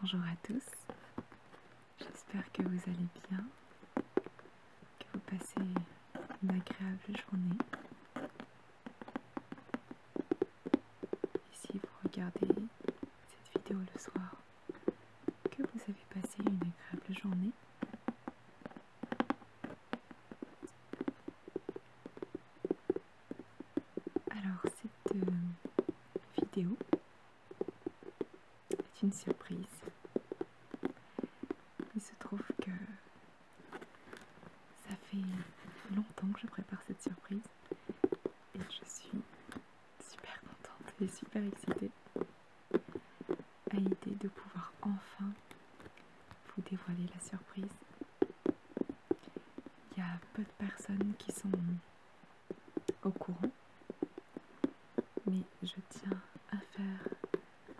Bonjour à tous, j'espère que vous allez bien, que vous passez une agréable journée. Ici, si vous regardez cette vidéo le soir, que vous avez passé une agréable journée. Alors cette euh, vidéo est une surprise. Il se trouve que ça fait longtemps que je prépare cette surprise et je suis super contente et super excitée à l'idée de pouvoir enfin vous dévoiler la surprise. Il y a peu de personnes qui sont au courant, mais je tiens à faire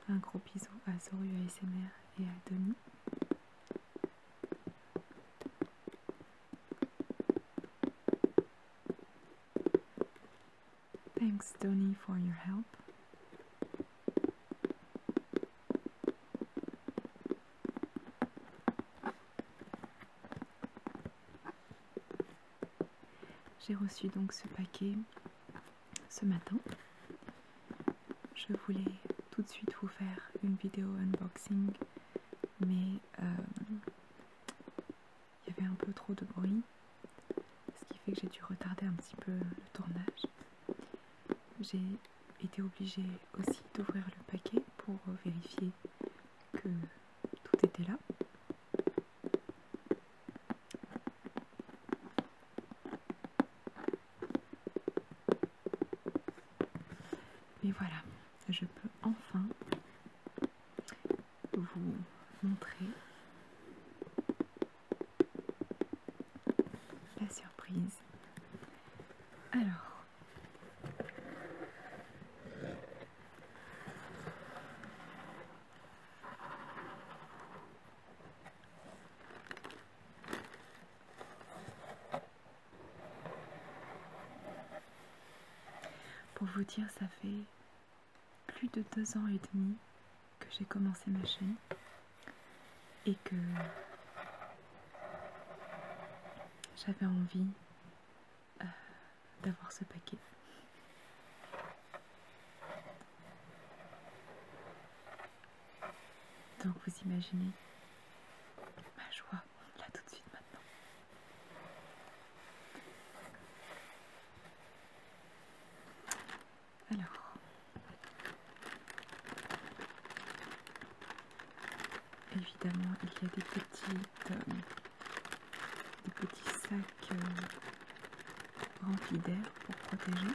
un gros bisou à Zoru ASMR et à Denis. Thanks, Tony, for your help. J'ai reçu donc ce paquet ce matin. Je voulais tout de suite vous faire une vidéo unboxing, mais euh, il y avait un peu trop de bruit ce qui fait que j'ai dû retarder un petit peu le tournage. J'ai été obligée aussi d'ouvrir le paquet pour vérifier que tout était là. Et voilà, je peux enfin vous montrer la surprise. Alors. Pour vous dire, ça fait plus de deux ans et demi que j'ai commencé ma chaîne et que j'avais envie euh, d'avoir ce paquet. Donc vous imaginez ma joie là tout de suite maintenant. Alors. Évidemment, il y a des, euh, petits sacs euh, remplis d'air pour protéger.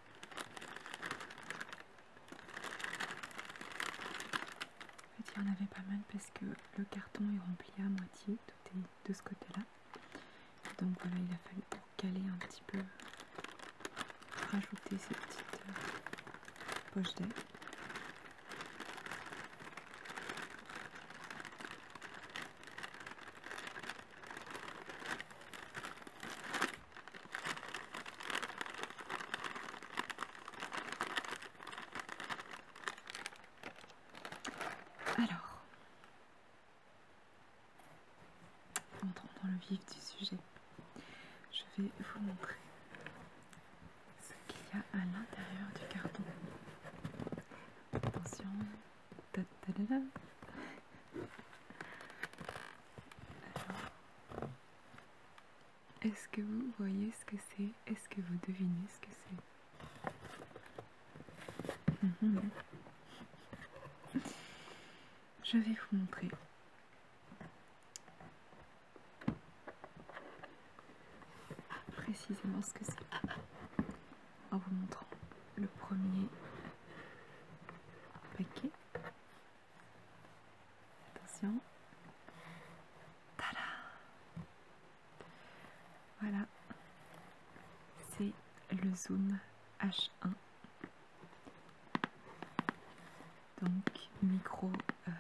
En fait, il y en avait pas mal parce que le carton est rempli à moitié, tout est de ce côté-là. Donc voilà, il a fallu caler un petit peu, rajouter ces petites euh, d'air. Alors, entrons dans le vif du sujet. Je vais vous montrer ce qu'il y a à l'intérieur du carton. Attention est-ce que vous voyez ce que c'est Est-ce que vous devinez ce que c'est mhm. Je vais vous montrer. Précisément ce que c'est en vous montrant le premier paquet. Attention. Voilà, c'est le Zoom H1. Donc micro euh,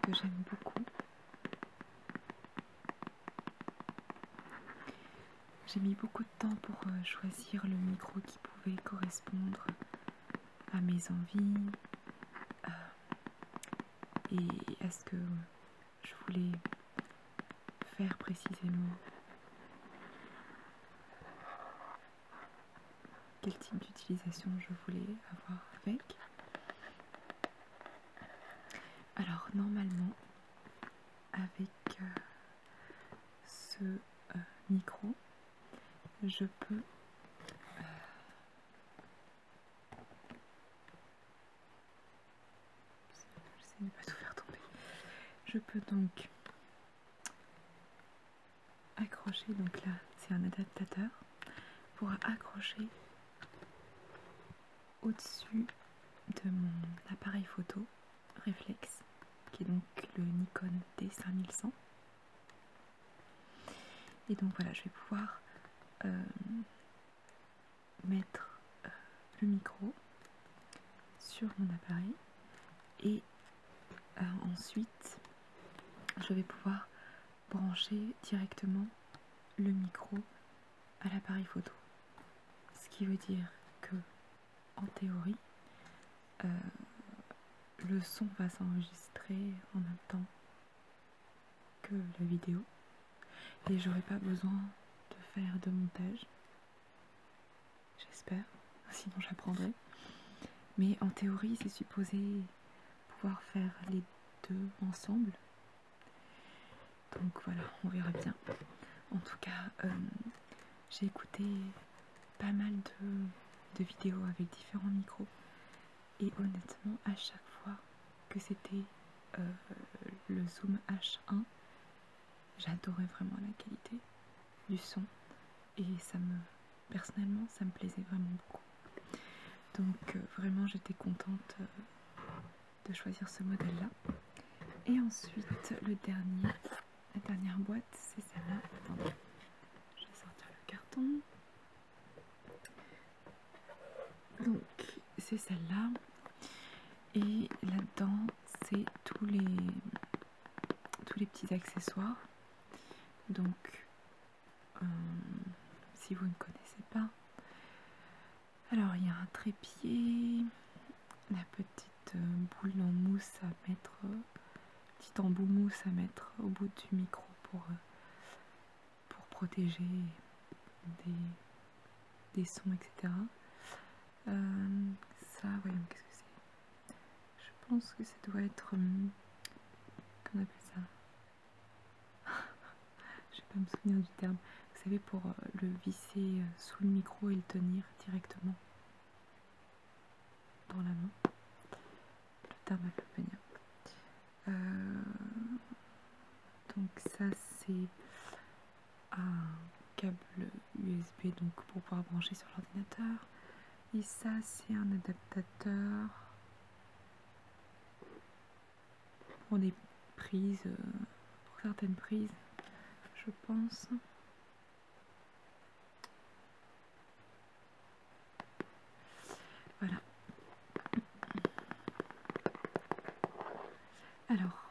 que j'aime beaucoup. J'ai mis beaucoup de temps pour euh, choisir le micro qui pouvait correspondre à mes envies euh, et à ce que je voulais faire précisément. Quel type d'utilisation je voulais avoir avec. Alors normalement avec euh, ce euh, micro je peux je ne pas tout faire tomber je peux donc accrocher donc là c'est un adaptateur pour accrocher au-dessus de mon appareil photo réflexe, qui est donc le Nikon D5100. Et donc voilà, je vais pouvoir euh, mettre euh, le micro sur mon appareil et euh, ensuite je vais pouvoir brancher directement le micro à l'appareil photo. Ce qui veut dire que, en théorie, euh, le son va s'enregistrer en même temps que la vidéo et j'aurai pas besoin de faire de montage. J'espère, sinon j'apprendrai. Mais en théorie, c'est supposé pouvoir faire les deux ensemble donc voilà, on verra bien. En tout cas, euh, j'ai écouté pas mal de, vidéos avec différents micros. Et honnêtement, à chaque fois que c'était euh, le Zoom H1, j'adorais vraiment la qualité du son. Et ça me, personnellement, ça me plaisait vraiment beaucoup. Donc euh, vraiment, j'étais contente de choisir ce modèle-là. Et ensuite, le dernier, la dernière boîte, c'est celle-là. Attendez, je vais sortir le carton. Donc, c'est celle-là. Et là-dedans, c'est tous les, tous les petits accessoires. Donc, euh, si vous ne connaissez pas, alors il y a un trépied, la petite euh, boule en mousse à mettre, euh, petit embout mousse à mettre au bout du micro pour, euh, protéger des, sons, etc. ça, voyons, qu'est-ce que c'est Je pense que ça doit être, qu'on hum, appelle ça je vais pas me souvenir du terme, vous savez, pour euh, le visser euh, sous le micro et le tenir directement dans la main. Le terme euh, donc ça c'est un câble USB donc pour pouvoir brancher sur l'ordinateur. Et ça c'est un adaptateur pour des prises, euh, pour certaines prises, je pense. Voilà. Alors,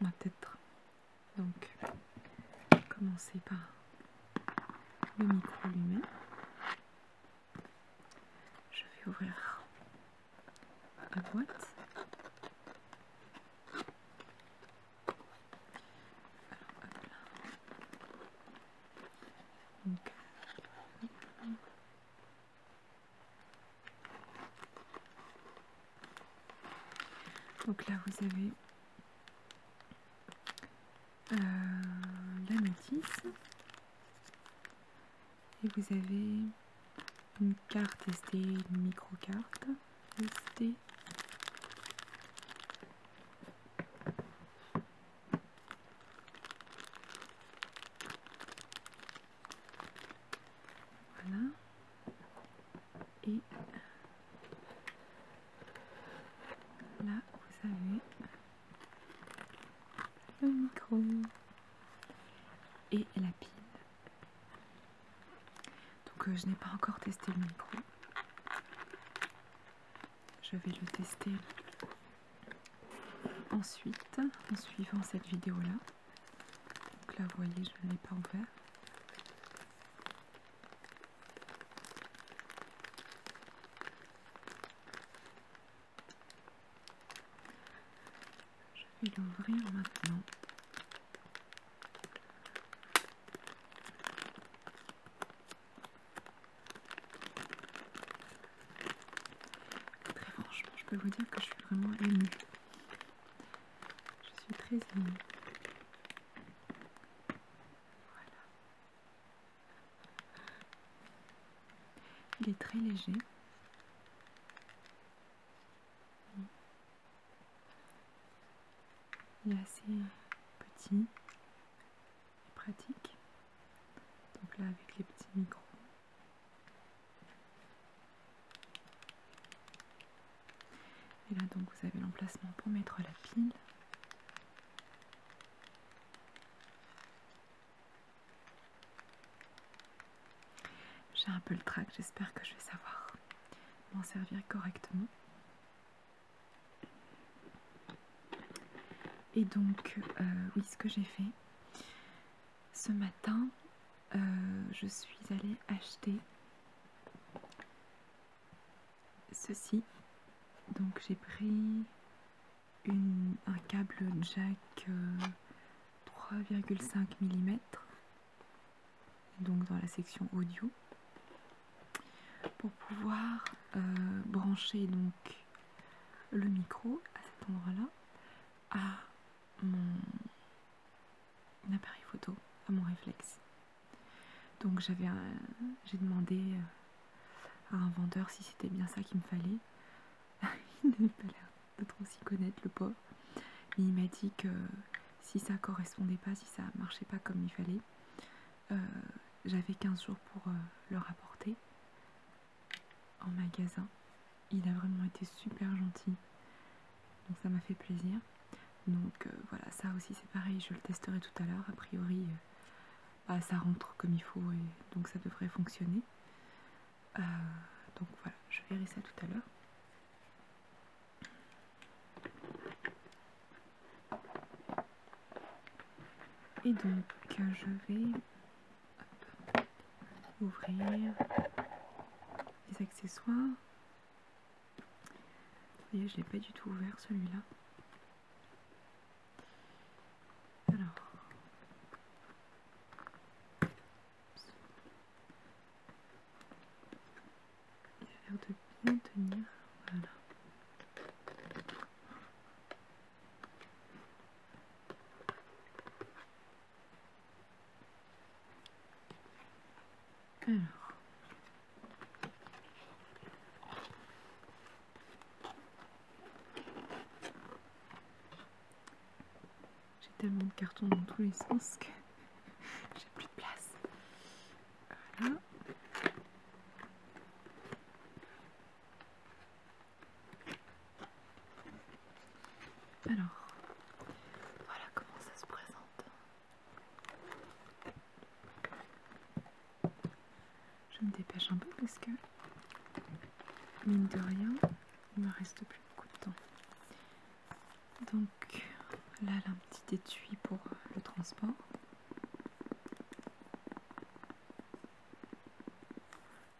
on va peut-être donc commencer par le micro lui je vais ouvrir la boîte. Donc, là vous avez euh, la notice, et vous avez une carte SD, une micro-carte SD. Voilà. Et là, vous avez le micro et la pile. Donc euh, je n'ai pas encore testé le micro. Je vais le tester ensuite en suivant cette vidéo là. Donc là vous voyez je ne l'ai pas ouvert. Je vais l'ouvrir maintenant. Très franchement, je peux vous dire que je suis vraiment émue. Je suis très émue. Voilà. Il est très léger. Il est assez petit et pratique. Donc là avec les petits micros. Et là donc vous avez l'emplacement pour mettre la pile. J'ai un peu le trac, j'espère que je vais savoir m'en servir correctement. Et donc, euh, oui, ce que j'ai fait, ce matin, euh, je suis allée acheter ceci. Donc j'ai pris un câble jack 3,5 euh, mm, donc dans la section audio, pour pouvoir euh, brancher donc le micro à cet endroit-là à mon appareil photo, à mon réflexe. Donc j'avais j'ai demandé euh, à un vendeur si c'était bien ça qu'il me fallait. il n'avait pas l'air de trop s'y connaître, le pauvre. il m'a dit que si ça correspondait pas, si ça marchait pas comme il fallait, euh, j'avais 15 jours pour euh, le rapporter en magasin. Il a vraiment été super gentil. Donc ça m'a fait plaisir. Donc euh, voilà, ça aussi c'est pareil, je le testerai tout à l'heure. A priori, bah, ça rentre comme il faut et donc ça devrait fonctionner. Euh, donc voilà, je verrai ça tout à l'heure. Et donc je vais ouvrir les accessoires. Vous voyez, je l'ai pas du tout ouvert celui-là. Alors. Il a l'air de bien tenir. Voilà. Alors. J'ai tellement de cartons dans tous les sens que j'ai plus de place. Voilà. Alors, voilà comment ça se présente. Je me dépêche un peu parce que, mine de rien, il ne me reste plus beaucoup de temps. Donc là, là un petit étui pour euh, le transport.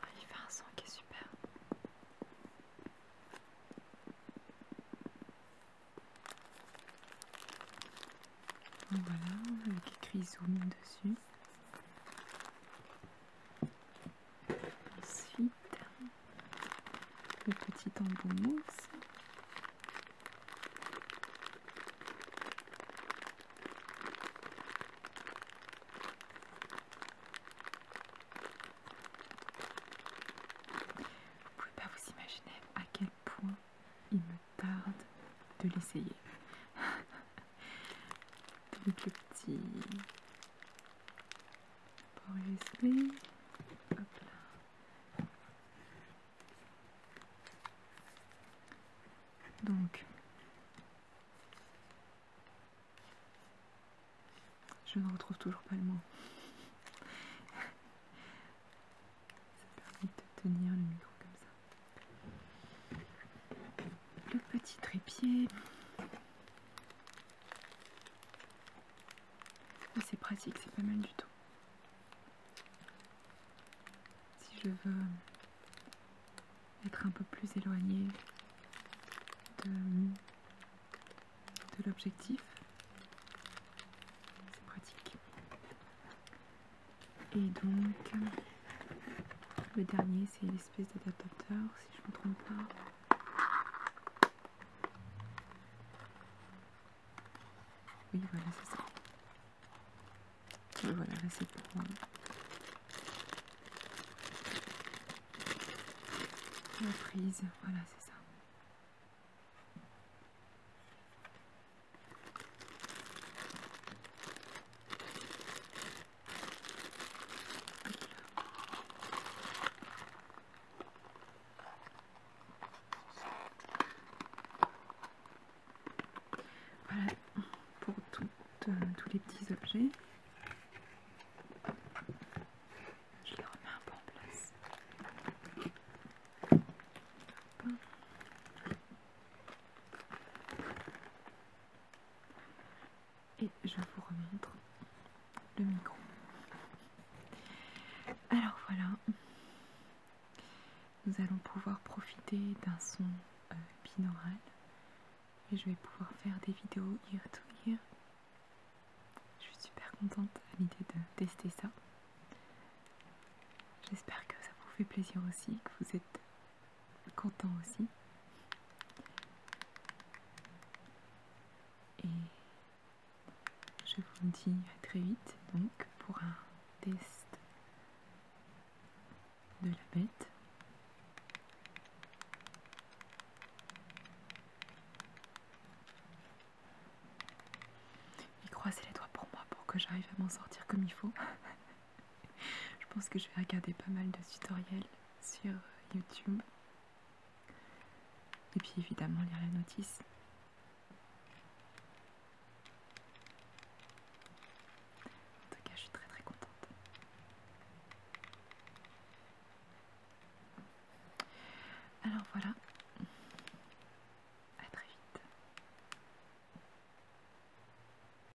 Ah, il fait un son qui est super. Voilà, avec écrit zoom dessus. Ensuite, le petit embout mousse. Vous pouvez pas vous imaginer à quel point il me tarde de l'essayer. Donc le petit port Hop là. Donc je ne retrouve toujours pas le mot. Ça permet de tenir le micro comme ça le petit trépied. Ah, c'est pratique, c'est pas mal du tout. Si je veux être un peu plus éloigné de, l'objectif, c'est pratique. Et donc, le dernier, c'est espèce d'adaptateur, si je ne me trompe pas. Oui, voilà, c'est ça. voilà, c'est pour. moi. La prise, voilà, c'est ça. Voilà pour euh, tous les petits objets. Je les remets un peu en place. Et je vous remontre le micro. Alors voilà, nous allons pouvoir profiter d'un son euh, binaural et je vais pouvoir faire des vidéos ear to Je suis super contente à l'idée de tester ça. J'espère que ça vous fait plaisir aussi, que vous êtes content aussi. Et je vous dis à très vite donc pour un test de la bête. Et croisez les doigts pour moi pour que j'arrive à m'en sortir comme il faut. je pense que je vais regarder pas mal de tutoriels sur YouTube. Et puis évidemment lire la notice. En tout cas, je suis très très contente. Alors voilà. À très vite.